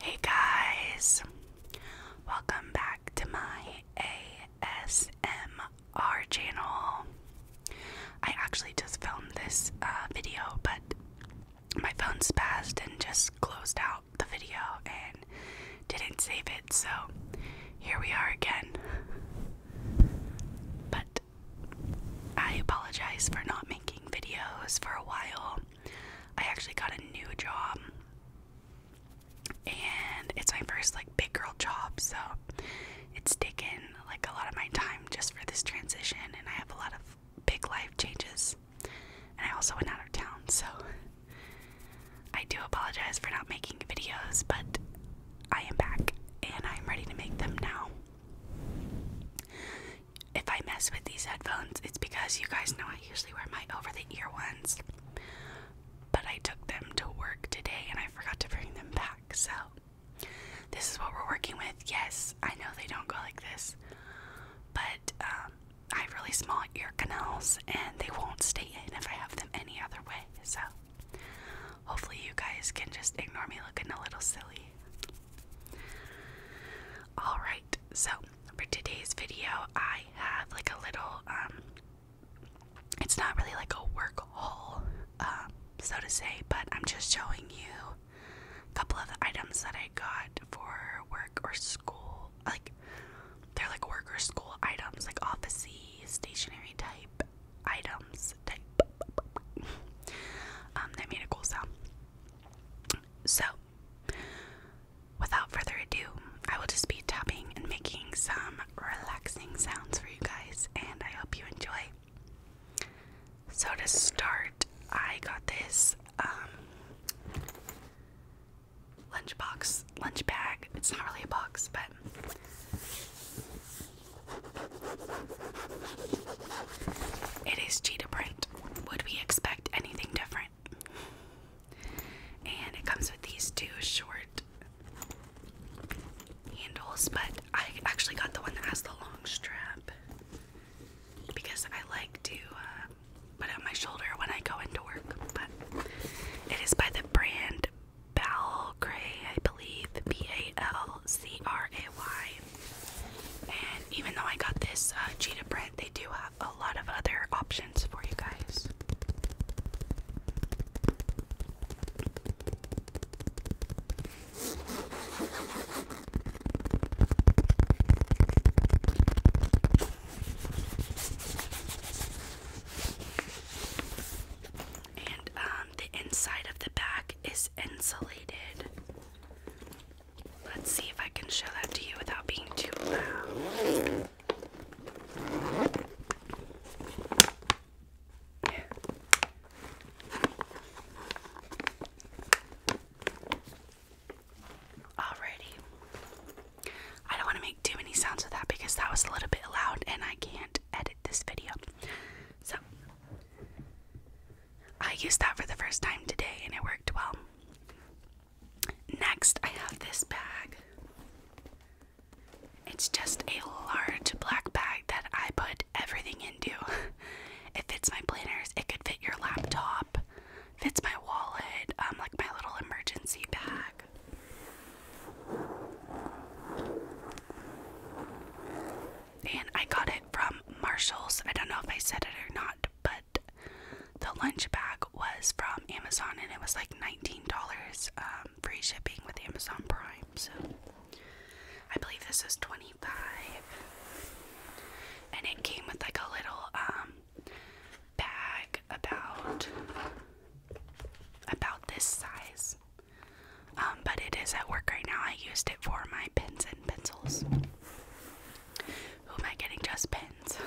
Hey guys, welcome back to my ASMR channel. I actually just filmed this uh, video, but my phone's passed and just closed out the video and didn't save it, so here we are again. But I apologize for not making videos for a while. I actually got a new job and it's my first like big girl job so it's taken like a lot of my time just for this transition and I have a lot of big life changes and I also went out of town so I do apologize for not making videos but I am back and I'm ready to make them now if I mess with these headphones, it's because you guys know I usually wear my over the ear ones. But I took them to work today and I forgot to bring them back. So, this is what we're working with. Yes, I know they don't go like this, but um, I have really small ear canals and they won't stay in if I have them any other way. So, hopefully, you guys can just ignore me looking a little silly. Alright, so for today's video, I have like a little, um, it's not really like a work haul, um, so to say, but I'm just showing you a couple of the items that I got for work or school. Like, they're like work or school items, like officey, stationery type items. Type. um, that made a cool sound. So, Without further ado, I will just be tapping and making some relaxing sounds for you guys, and I hope you enjoy. So, to start, I got this um, lunchbox, lunch bag. It's not really a box, but. It is cheetah print. Would we expect anything different? And it comes with these two short handles, but I actually got the one that has the long strap because I like to uh, put it on my shoulder when I go into work. But it is by the brand Balcray, I believe, B A L C R A Y. And even though I got this uh, cheetah print, they do have a lot of other options for you guys. And um, the inside of the back is insulated. Let's see if I can show that to you without being too loud. Yeah. Alrighty. I don't want to make too many sounds with that because that was a little bit loud and I can't edit this video. So, I used that for the first time today and it worked well. Next, I have this bag. It's just a large black bag that I put everything into. It fits my planners, it could fit your laptop, fits my wallet, um, like my little emergency bag. And I got it from Marshall's. I don't know if I said it or not, but the lunch bag was from Amazon and it was like $19 um, free shipping with Amazon Prime. So I believe this is 25 and it came with like a little um, bag about about this size. Um, but it is at work right now. I used it for my pens and pencils. Who am I getting just pins?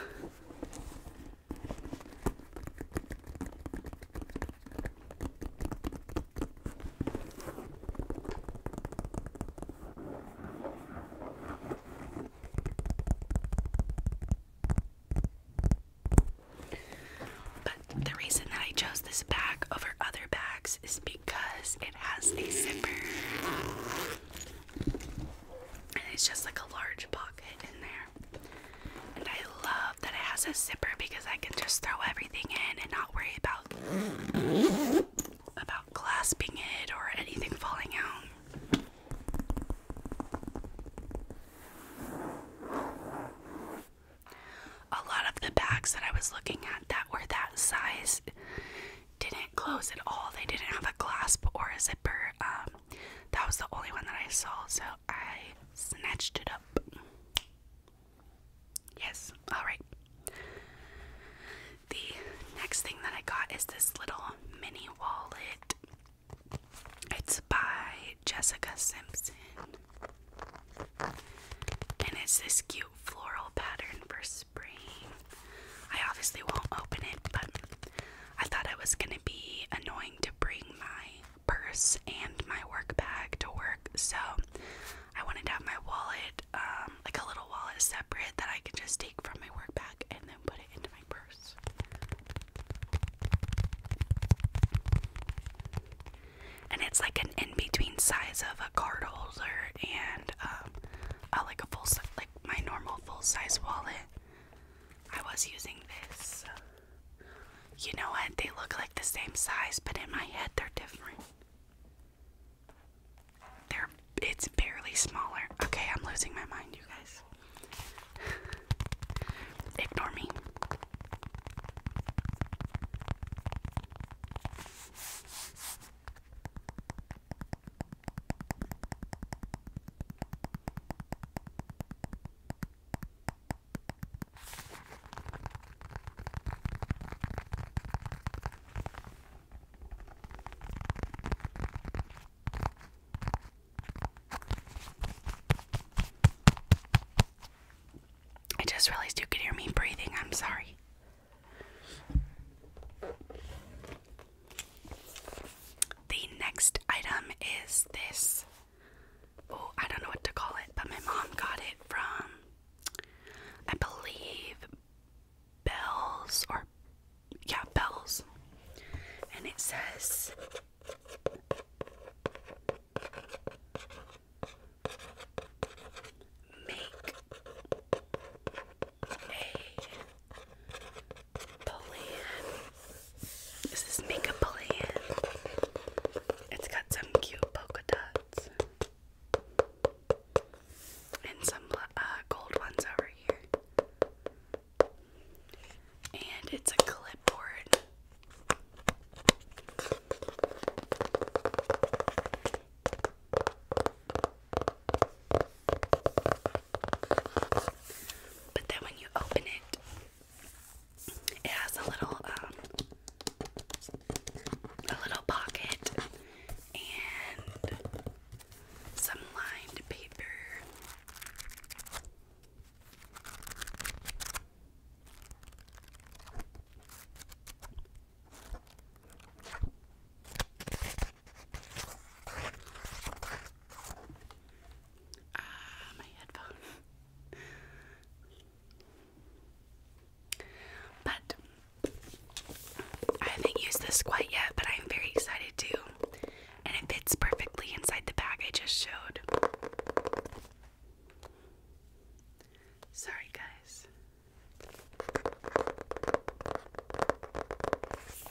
But the reason that I chose this bag over other bags is because it has a zipper. And it's just like a large pocket in there. And I love that it has a zipper because I can just throw everything in and not worry about about clasping it or anything falling out. A lot of the bags that I was looking at that were that size didn't close at all. They didn't have a clasp or a zipper. Um, that was the only one that I saw, so I snatched it up. Yes, alright. The next thing that I got is this little mini wallet. It's by Jessica Simpson. And it's this cute floral pattern for I obviously won't open it, but I thought it was gonna be annoying to bring my purse and my work bag to work, so I wanted to have my wallet, um, like a little wallet separate that I can just take from my work bag and then put it into my purse. And it's like an in between size of a card holder and um, a, like a full, my normal full size wallet. I was using this. You know what? They look like the same size, but in my head they're different. They're it's barely smaller. Okay, I'm losing my mind, you guys. Ignore me. I just realized you could hear me breathing. I'm sorry. The next item is this. Oh, I don't know what to call it, but my mom got it from, I believe, Bells or, yeah, Bells. And it says, Make a this Is this makeup plan? It's got some cute polka dots and some uh, gold ones over here. And it's a clipboard. But then when you open it, it has a little um, a little pocket and some lined paper. Ah, my headphone. but I haven't used this quite yet, but I'm very excited to. And it fits perfectly inside the bag I just showed. Sorry, guys.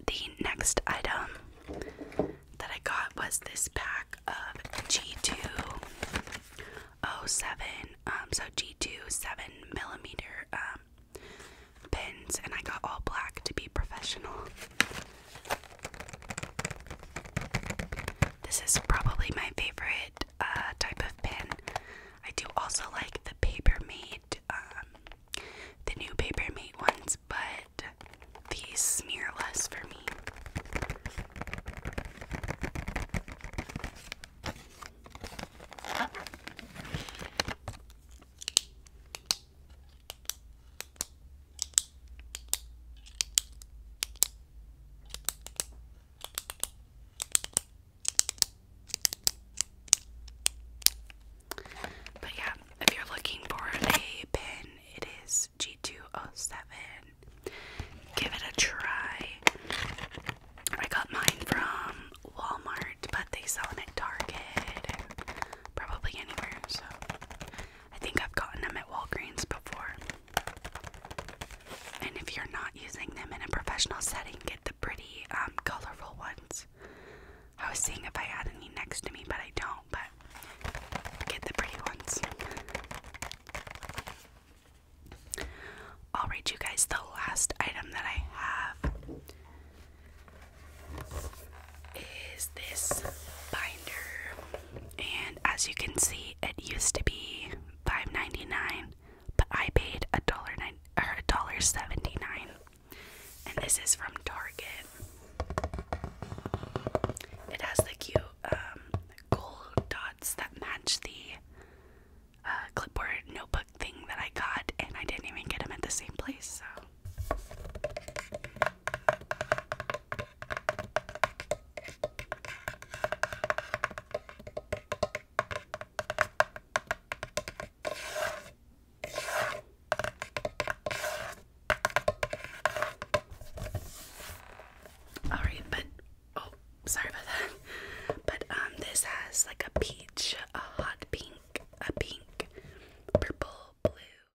the next item that I got was this pack of G207, um, so G2 7 millimeter um, pins, and I got all black to be professional. This is probably my favorite uh, type of pin. I do also like the paper made um, the new Paper Mate ones, but these smear less for me. But yeah, if you're looking for a pin, it is G207. Give it a try. I got mine from Walmart, but they sell them at Target probably anywhere, so I think I've gotten them at Walgreens before. And if you're not using them in a professional setting, get the pretty, um, colorful ones. I was seeing if I had any next to me, but I don't. But get the pretty ones. I'll read you guys the last item that I have is this binder. And as you can see, it used to be $5.99, but I paid a dollar nine or a dollar seventy nine and this is from Target. It has the cute um, gold dots that match the uh, clipboard notebook thing that I got, and I didn't even get them at the same place, Alright, but oh, sorry about that. But um this has like a peach, a hot pink, a pink, purple, blue.